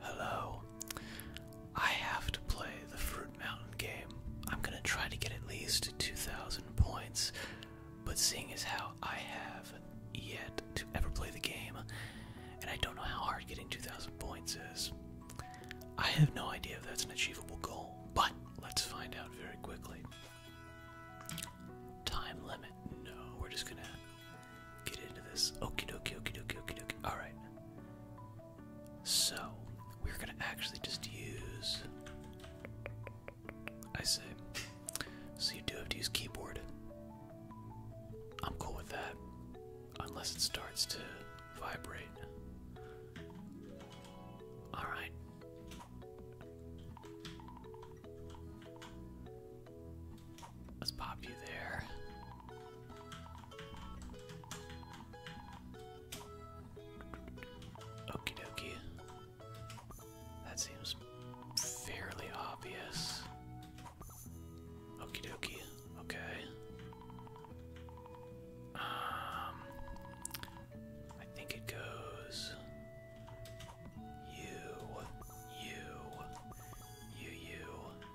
Hello. I have to play the Fruit Mountain game. I'm gonna try to get at least 2,000 points, but seeing as how I have yet to ever play the game, and I don't know how hard getting 2,000 points is, I have no idea if that's an achievable goal, but let's find out very quickly. Time limit? No, we're just gonna get into this. Okie dokie, okie dokie, okie dokie. All right. So we're gonna actually just use. I say. So you do have to use keyboard. I'm cool with that, unless it starts to vibrate. All right. Let's pop you there. Okie dokie. That seems fairly obvious. Okie dokie. Okay. Um, I think it goes you, you, you, you.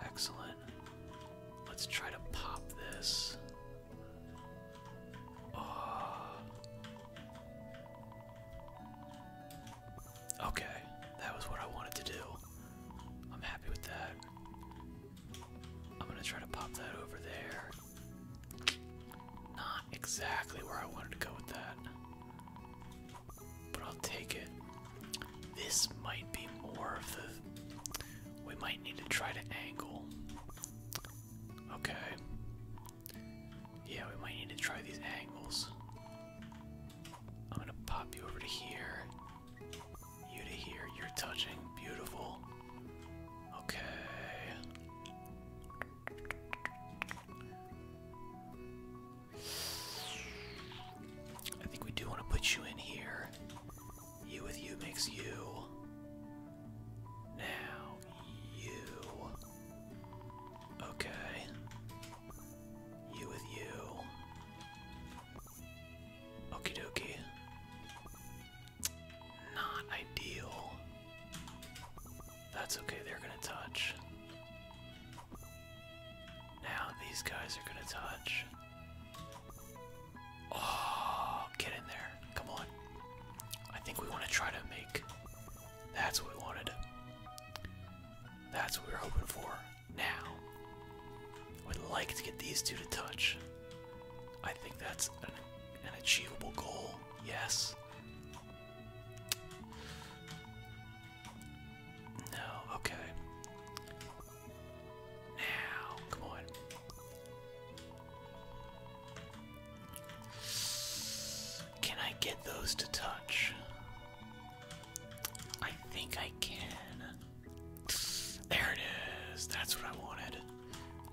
Excellent. Let's try to pop this. Oh. Okay, that was what I wanted to do. I'm happy with that. I'm gonna try to pop that over there. Not exactly where I wanted to go with that. But I'll take it. This might be more of the. We might need to try to angle. Okay. Yeah, we might need to try these angles. I'm gonna pop you over to here. You to here. You're touching. Beautiful. Okay. I think we do want to put you in here. You with you makes you. Now, you. Okay. You with you. Okie dokie. Not ideal. That's okay, they're gonna touch. Now these guys are gonna touch. Oh, get in there. Come on. I think we want to try to make. That's what we wanted. That's what we were hoping for. Now, would like to get these two to touch. I think that's an, an achievable goal. Yes. No, okay. Now, come on. Can I get those to touch? I think I can. There it is. That's what I wanted.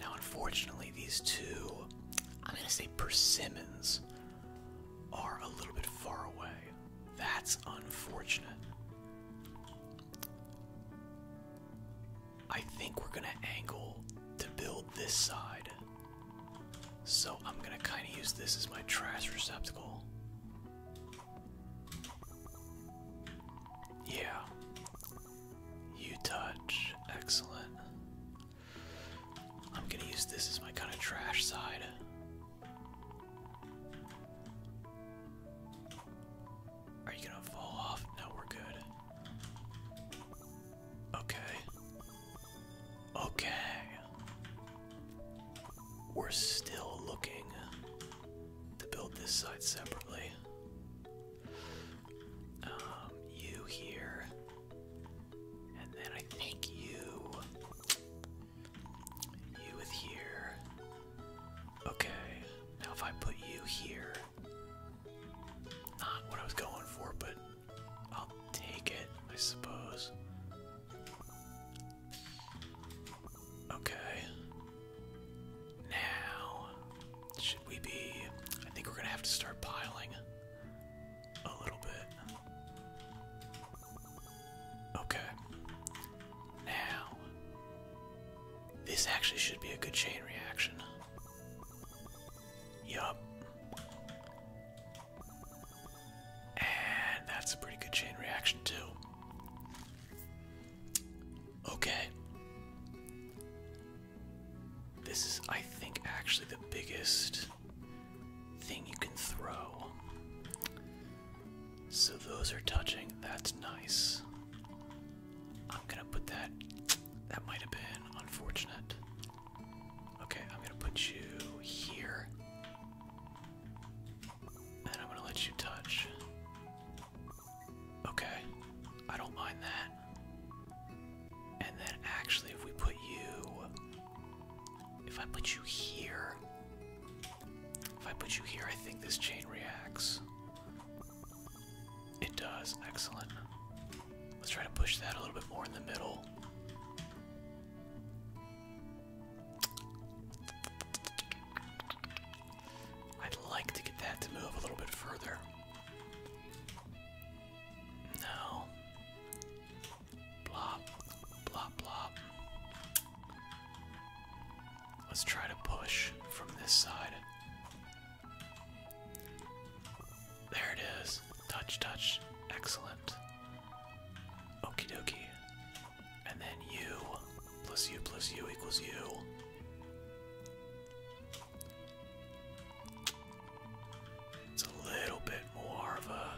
Now, unfortunately, these two, I'm going to say persimmons, are a little bit far away. That's unfortunate. I think we're gonna angle to build this side. So I'm gonna kind of use this as my trash receptacle. Yeah. You touch. Excellent. I'm gonna use this as my kind of trash side. Are you gonna fall off? No, we're good. Okay. Okay. We're still looking to build this side separately. Um, you here. And then I think you. You with here. Okay, now if I put you here, not what I was going for, but I'll take it, I suppose. Okay. Now, should we be. I think we're gonna have to start piling a little bit. Okay. Now, this actually should be a good chain reaction. Yup. And that's a pretty good chain reaction, too. Okay. This is, I think, actually the biggest thing you can throw. So those are touching. That's nice. I'm gonna put that. That might have been unfortunate. Okay, I'm gonna put you here. And I'm gonna let you touch. Okay, I don't mind that. And then actually, if we put you. If I put you here. If I put you here, I think this chain reacts. It does. Excellent. Let's try to push that a little bit more in the middle. I'd like to get that to move a little bit further. No. Blop, blop, blop. Let's try to push from this side. There it is. Touch, touch. Excellent. Okie dokie. And then U plus U plus U equals U. It's a little bit more of a,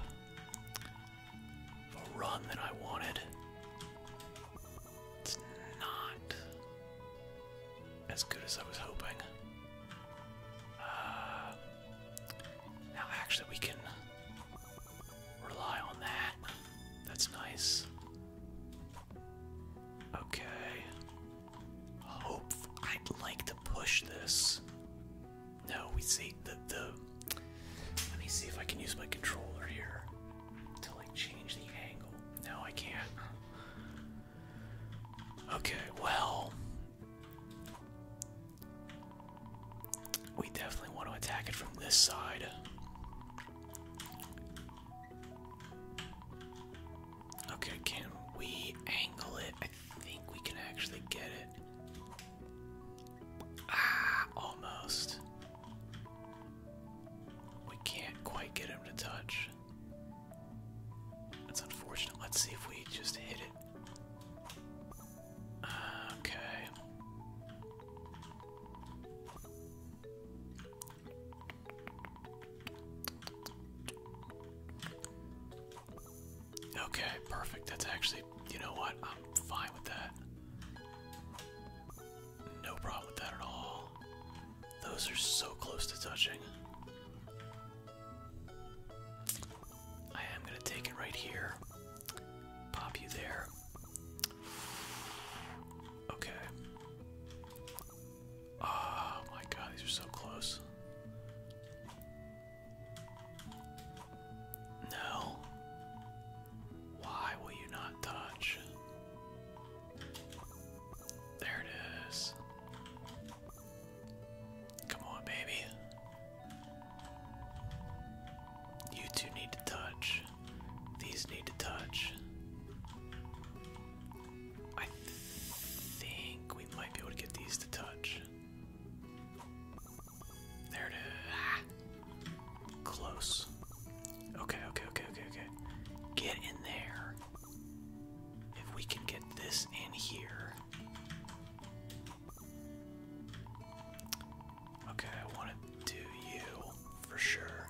a run than I wanted. It's not as good as I was hoping. Uh, now, actually, we can rely on that. That's nice. Okay. Hope I'd like to push this. No, we see the the. Let me see if I can use my controller here to like change the angle. No, I can't. Okay, well. We definitely want to attack it from this side. Okay, can we angle it? I think we can actually get it. Ah, almost. We can't quite get him to touch. That's unfortunate. Let's see if we just hit it. okay. Okay, perfect. That's actually, you know what? I'm fine with that. No problem with that at all. Those are so close to touching. I am going to take it right here. Pop you there. Okay. Oh my god, these are so close. No. Why will you not touch? There it is. Come on, baby. You two need to touch. These need to touch. I think we might be able to get these to touch. There it is. Ah. Close. Okay, okay, okay, okay, okay. Get in there. If we can get this in here. Okay, I want to do you for sure.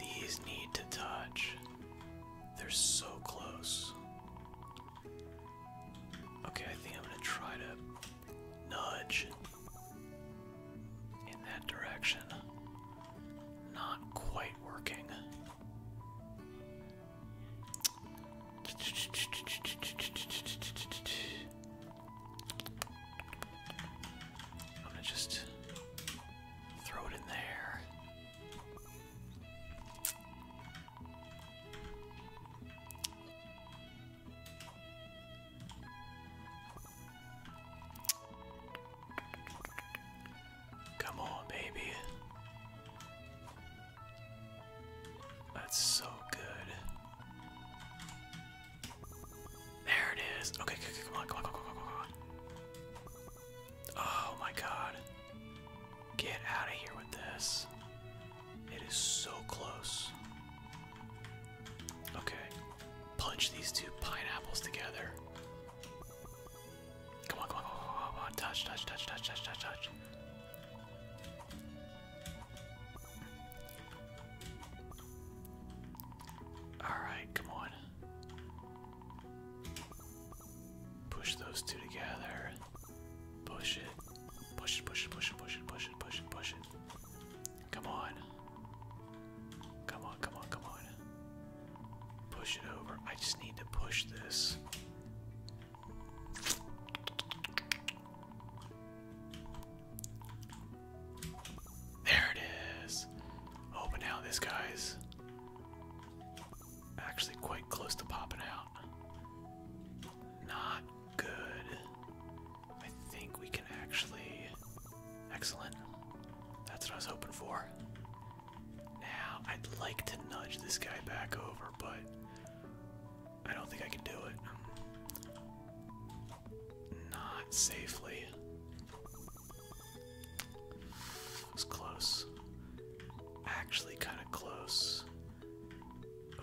These need to touch. They're so close. Okay, I think I'm gonna try to nudge in that direction. Not quite working. I'm gonna just throw it in there. Come on, baby. That's so good. There it is. Okay, come on, come on, come on, come on, come on. Oh my god. Get out of here with this. It is so close. Okay, punch these two pineapples together. Come on, come on, come on, come on, touch, touch, touch, touch, touch, touch, touch. Alright, come on. Push those two together. Push it. Push it, push it, push it, push it, push it, push it, Come on. Come on, come on, come on. Push it over. I just need to push this. There it is. Oh, but this guy's actually quite close to popping out. Not good. I think we can actually. Excellent. That's what I was hoping for. Now, I'd like to nudge this guy back over, but I don't think I can do it. Not safely. was close. Actually, kind of close.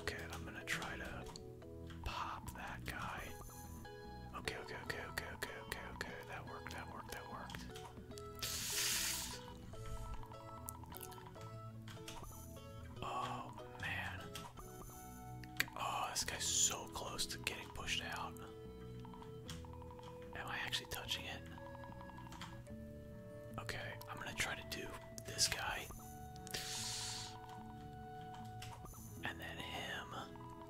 Okay, I'm gonna try to pop that guy. Okay, okay, okay, okay, okay, okay, okay. That worked, that worked, that worked. Oh man. Oh, this guy's so close to getting pushed out. Am I actually touching it? Okay, I'm gonna try to do this guy. And then him.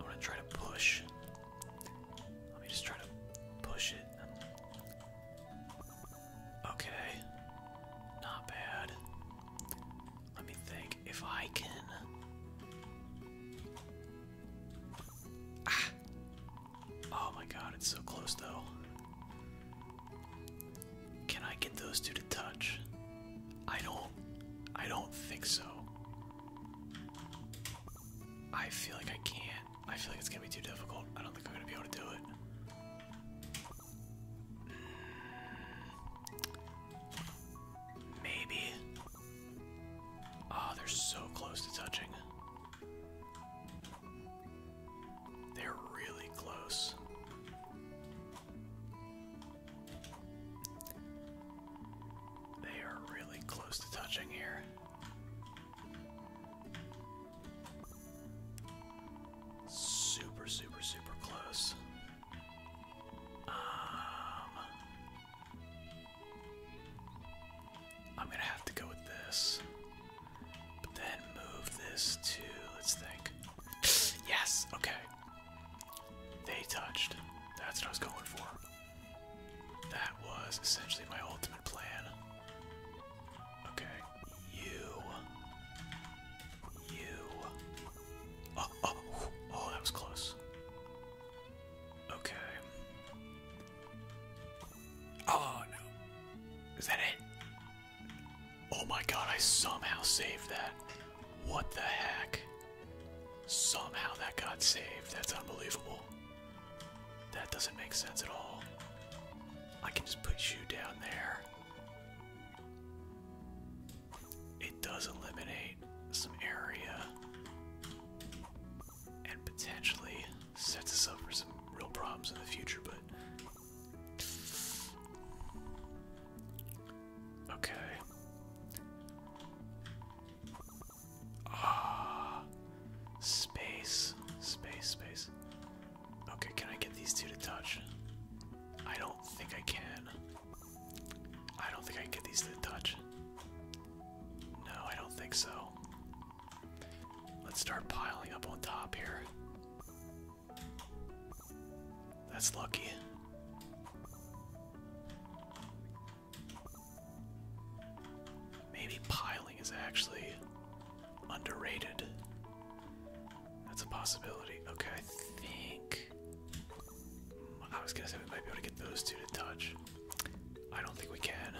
I'm gonna try to push. Let me just try to push it. Okay. Not bad. Let me think. If I can. Ah! Oh my god, it's so close though. Can I get those two to touch? I don't I don't think so. I feel like I can't. I feel like it's gonna be too difficult. I don't think I'm gonna be able to do it. Maybe. Oh, they're so close to touching. They're really close. They are really close to touching here. Super, super, super close. Um, I'm gonna have to go with this, then move this to. Let's think. Yes. Okay. They touched. That's what I was going for. That was essentially my ultimate plan. Okay. You. You. Oh, oh, oh, that was close. Okay. Oh, no. Is that it? Oh my god, I somehow saved that. What the heck? Somehow that got saved. That's unbelievable. That doesn't make sense at all. I can just put you down there. It does eliminate some area and potentially sets us up for some real problems in the future, but. Okay. Ah, space, space, space. Okay, can I get these two to touch? I don't think I can. I don't think I can get these two to touch. No, I don't think so. Let's start piling up on top here. That's lucky. Maybe piling is actually underrated. That's a possibility. Okay, I think. I was gonna say we might be able to get those two to touch. I don't think we can.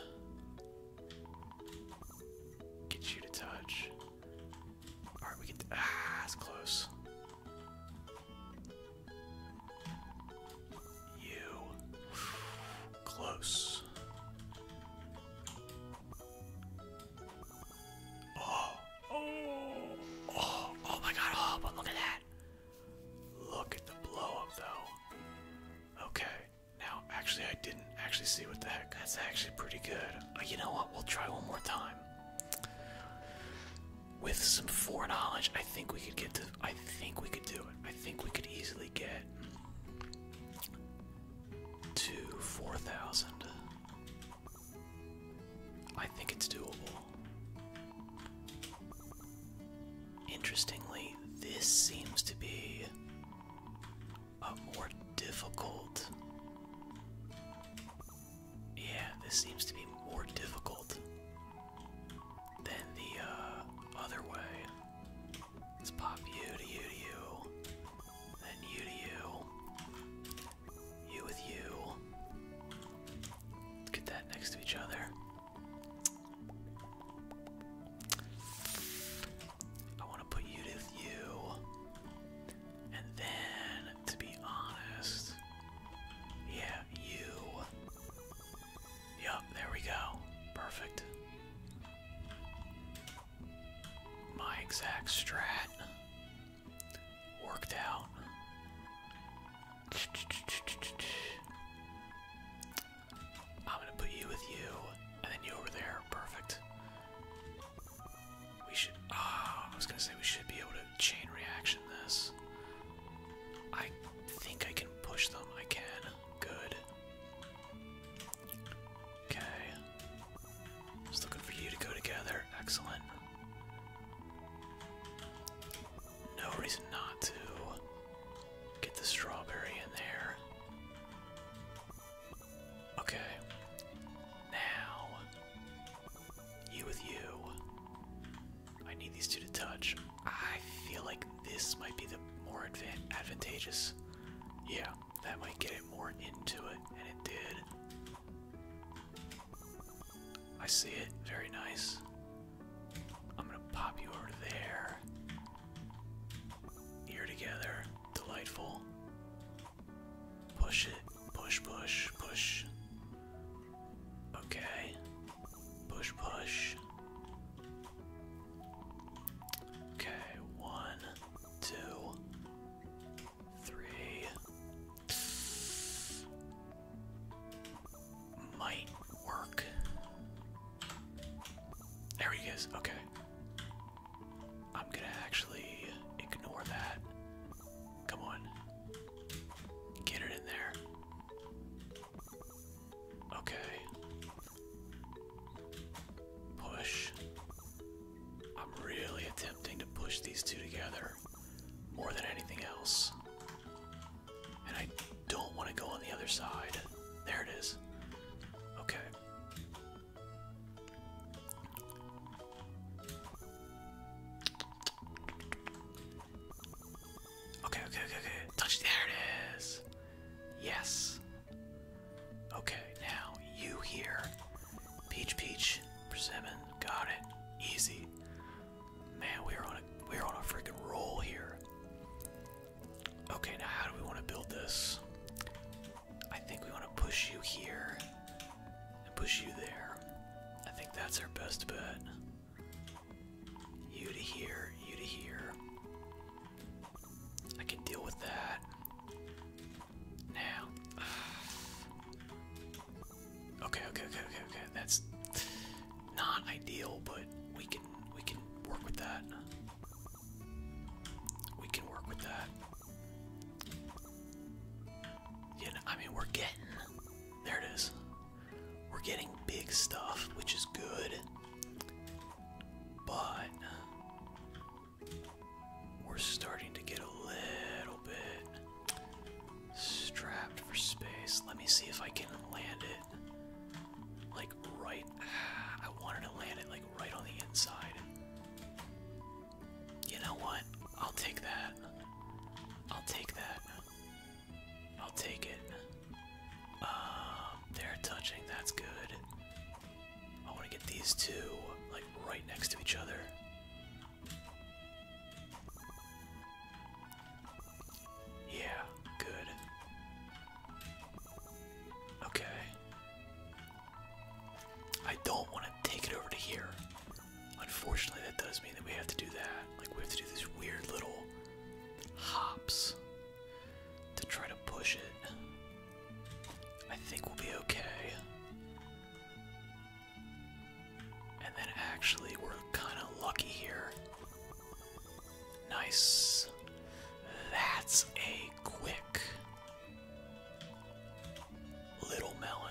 Get you to touch. Alright, we can. Ah, that's close. You. Close. Oh. Oh. Oh. Oh my god. Oh, but look at that. Look at the blow though. Okay. Now, actually, I didn't actually see what the heck. That's actually pretty good. Uh, you know what? We'll try one more time with some foreknowledge, I think we could get to. I think we could do it. I think we could easily get to 4,000. I think it's doable. Interestingly, this seems to be a more difficult yeah, this seems to be more difficult than the uh, other way. Let's pop you to you to you, then you to you, you with you. get that next to each other. I want to put you with you, and then to be honest, yeah, you. Yup, there we go. Perfect. My exact strat worked out. I'm gonna put you with you, and then you over there. Perfect. We should. Ah, I was gonna say we should be able to chain reaction this. I think I can push them. I can. Good. Okay. Just looking for you to go together. Excellent. No reason not to get the strawberry in there. Okay. Now, you with you. I need these two to touch. I feel like this might be the more advan advantageous. Yeah, that might get it more into it, and it did. I see it. Very nice. I'm gonna pop you over there. Ear together. Delightful. Push it. Push, push, push. Okay. Push, push. Okay, one, two, three. Might work. There he is. Okay. I'm gonna actually ignore that Come on. Get it in there. Okay. Push. I'm really attempting to push these two together more than anything else. And I don't want to go on the other side. There it is. Okay. Okay, okay, okay, okay. Touch there it is. Yes. Okay, now you here. Peach peach. Persimmon. Got it. Easy. Man, we're on a we're on a freaking roll here. Okay, now how do we want to build this? I think we want to push you here and push you there. I think that's our best bet. You to here, you to here. I can deal with that. Now. Okay, okay, okay, okay, okay. That's not ideal, but we can we can work with that. We can work with that. Yeah, I mean we're getting there it is. We're getting big stuff, which is good. But we're starting to get a little bit strapped for space. Let me see if I can land it like right. I wanted to land it like right on the inside. You know what? I'll take that. I'll take that. I'll take it. Um, they're touching. That's good. I want to get these two like right next to each other. Yeah, good. Okay. I don't want to take it over to here. Unfortunately, that does mean that we have to do that. Like, we have to do these weird little hops to try to push it. I think we'll be okay. And then, actually, we're kind of lucky here. Nice. That's a quick little melon.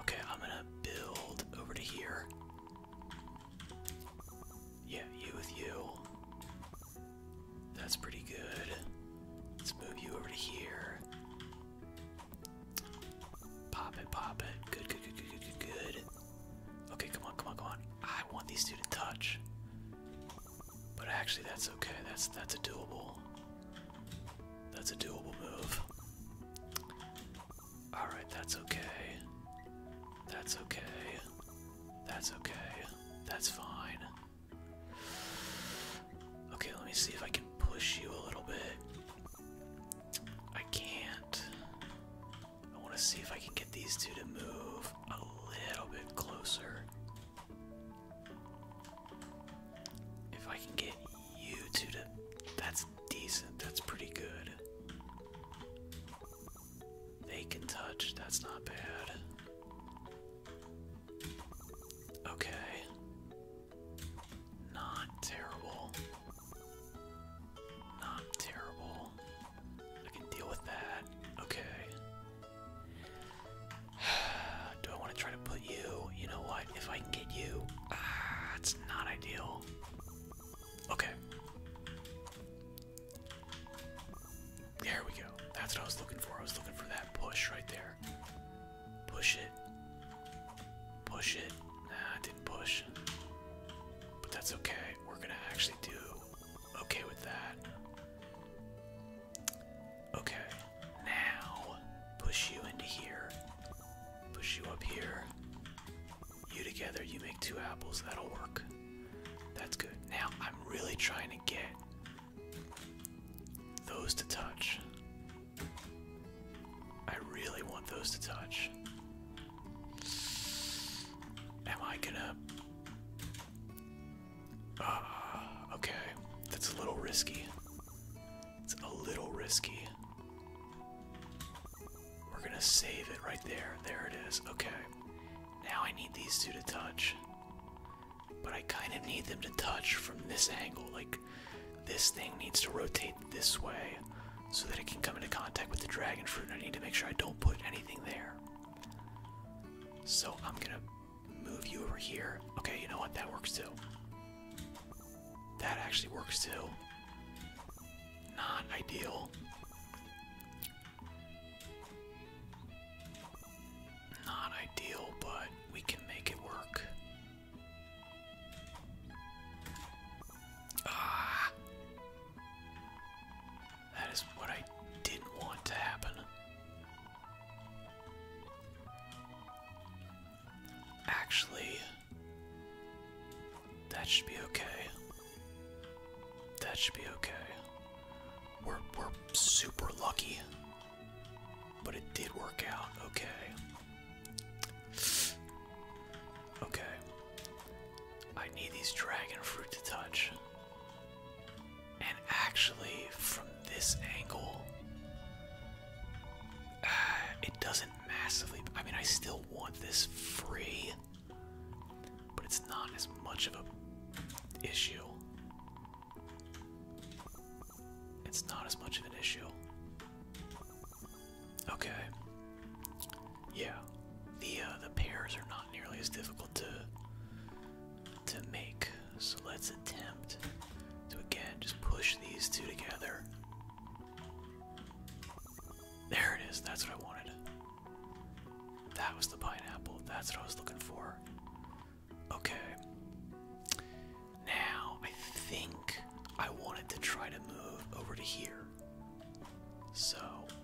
Okay, I'm gonna build over to here. Yeah, you with you. That's pretty good. Let's move you over to here. Pop it, pop it. Good, good, good, good, good, good, good. Okay, come on, come on, come on. I want these two to touch. But actually that's okay. That's that's a doable. That's a doable move. Alright, that's okay. That's okay. That's okay. That's fine. Okay, let me see if I can push you a little bit. I can't. I want to see if I can get these two to move a little bit closer. If I can get you to to. That's decent. That's pretty good. They can touch. That's not bad. Okay. Not terrible. Not terrible. I can deal with that. Okay. Do I want to try to put you? You know what? If I can get you, ah, it's not ideal. Okay. There we go. That's what I was looking for. I was looking for that push right there. Push it. Push it. Nah, I didn't push. But that's okay. We're going to actually do okay with that. Okay. Now, push you into here. Push you up here. You together, you make two apples. That'll work. That's good. Now, I'm really trying to get those to touch. I really want those to touch. Am I gonna. Ah, okay. That's a little risky. It's a little risky. We're gonna save it right there. There it is. Okay. Now I need these two to touch. But I kind of need them to touch from this angle. Like, this thing needs to rotate this way so that it can come into contact with the dragon fruit. And I need to make sure I don't put anything there. So I'm gonna move you over here. Okay, you know what? That works too. That actually works too. Not ideal. Not ideal, but we can make it work. Ah! That is what I didn't want to happen. Actually, that should be okay. That should be okay. We're we're super lucky. But it did work out, okay. Okay. I need these dragon fruit to touch. And actually, from this angle, uh, it doesn't massively. I mean, I still want this free, but it's not as much of an issue. It's not as much of an issue. Okay. Yeah, the uh, the pairs are not nearly as difficult to to make. So let's attempt to again just push these two together. There it is. That's what I wanted. That was the pineapple. That's what I was looking for. Okay. Now, I think I wanted to try to move over to here. So,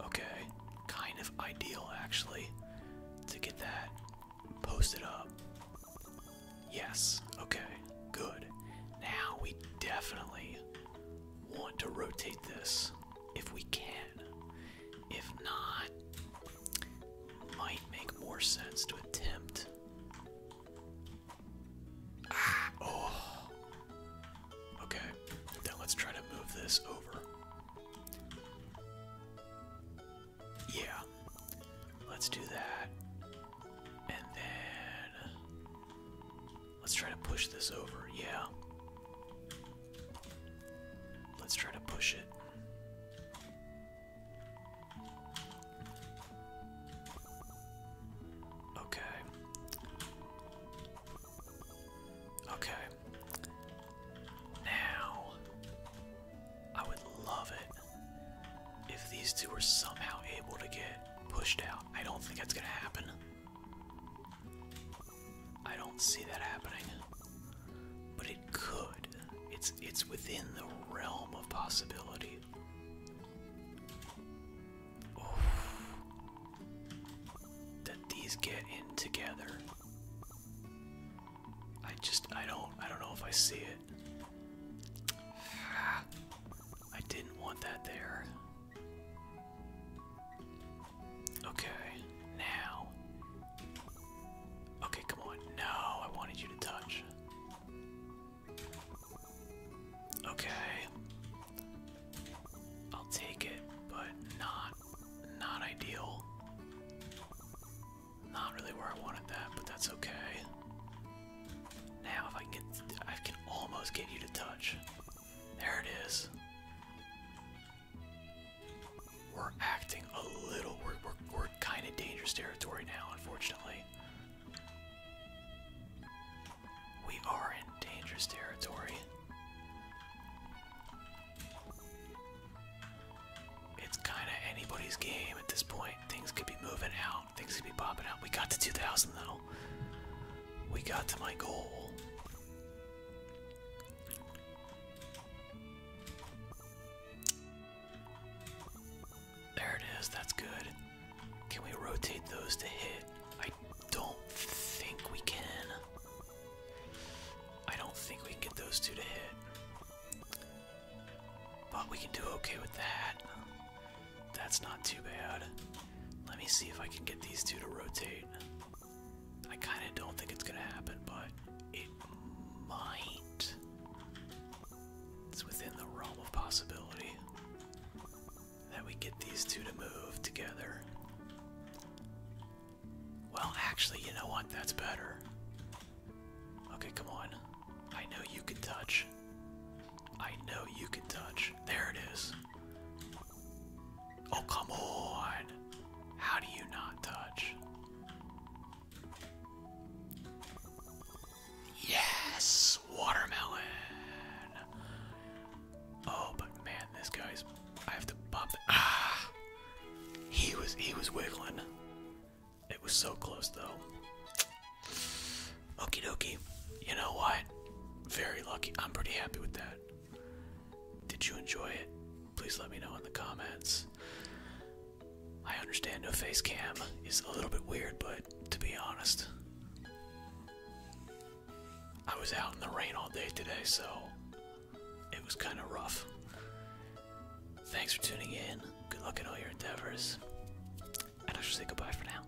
okay. Kind of ideal, actually, to get that posted up. Yes, okay, good. Now we definitely want to rotate this if we can. If not, might make more sense to attempt. Ah, oh. Okay, then let's try to move this over. Yeah, let's do that. And then Let's try to push this over. Yeah. Let's try to push it. Okay. Okay. Now, I would love it if these two were somehow able to get pushed out. I don't think that's gonna happen. I don't see that happening. But it could. It's it's within the realm of possibility. That these get in together. I just I don't I don't know if I see it. I didn't want that there. Okay, now. Okay, come on. No, I wanted you to touch. Okay. I'll take it, but not not ideal. Not really where I wanted that, but that's okay. Now if I can get I can almost get you to touch. There it is. We're acting a little we're, we're kinda dangerous territory now, unfortunately. We are in dangerous territory. It's kinda anybody's game at this point. Things could be moving out things could be popping out. We got to 2,000 though. We got to my goal. There it is. That's good. Can we rotate those to hit? I don't think we can. I don't think we get those two to hit. But we can do okay with that. That's not too bad. Let me see if I can get these two to rotate. I kind of don't think it's going to happen, but it might. It's within the realm of possibility that we get these two to move together. Well, actually, you know what? That's better. Okay, come on. I know you can touch. I know you can touch. There it is. Oh, come on. How do you not touch? Yes, watermelon. Oh, but man, this guy's. I have to bump. Ah, he was he was wiggling. It was so close though. Okie dokie. You know what? Very lucky. I'm pretty happy with that. Did you enjoy it? Please let me know in the comments. I understand a face cam is a little bit weird, but to be honest, I was out in the rain all day today, so it was kind of rough. Thanks for tuning in. Good luck in all your endeavors. And I shall say goodbye for now.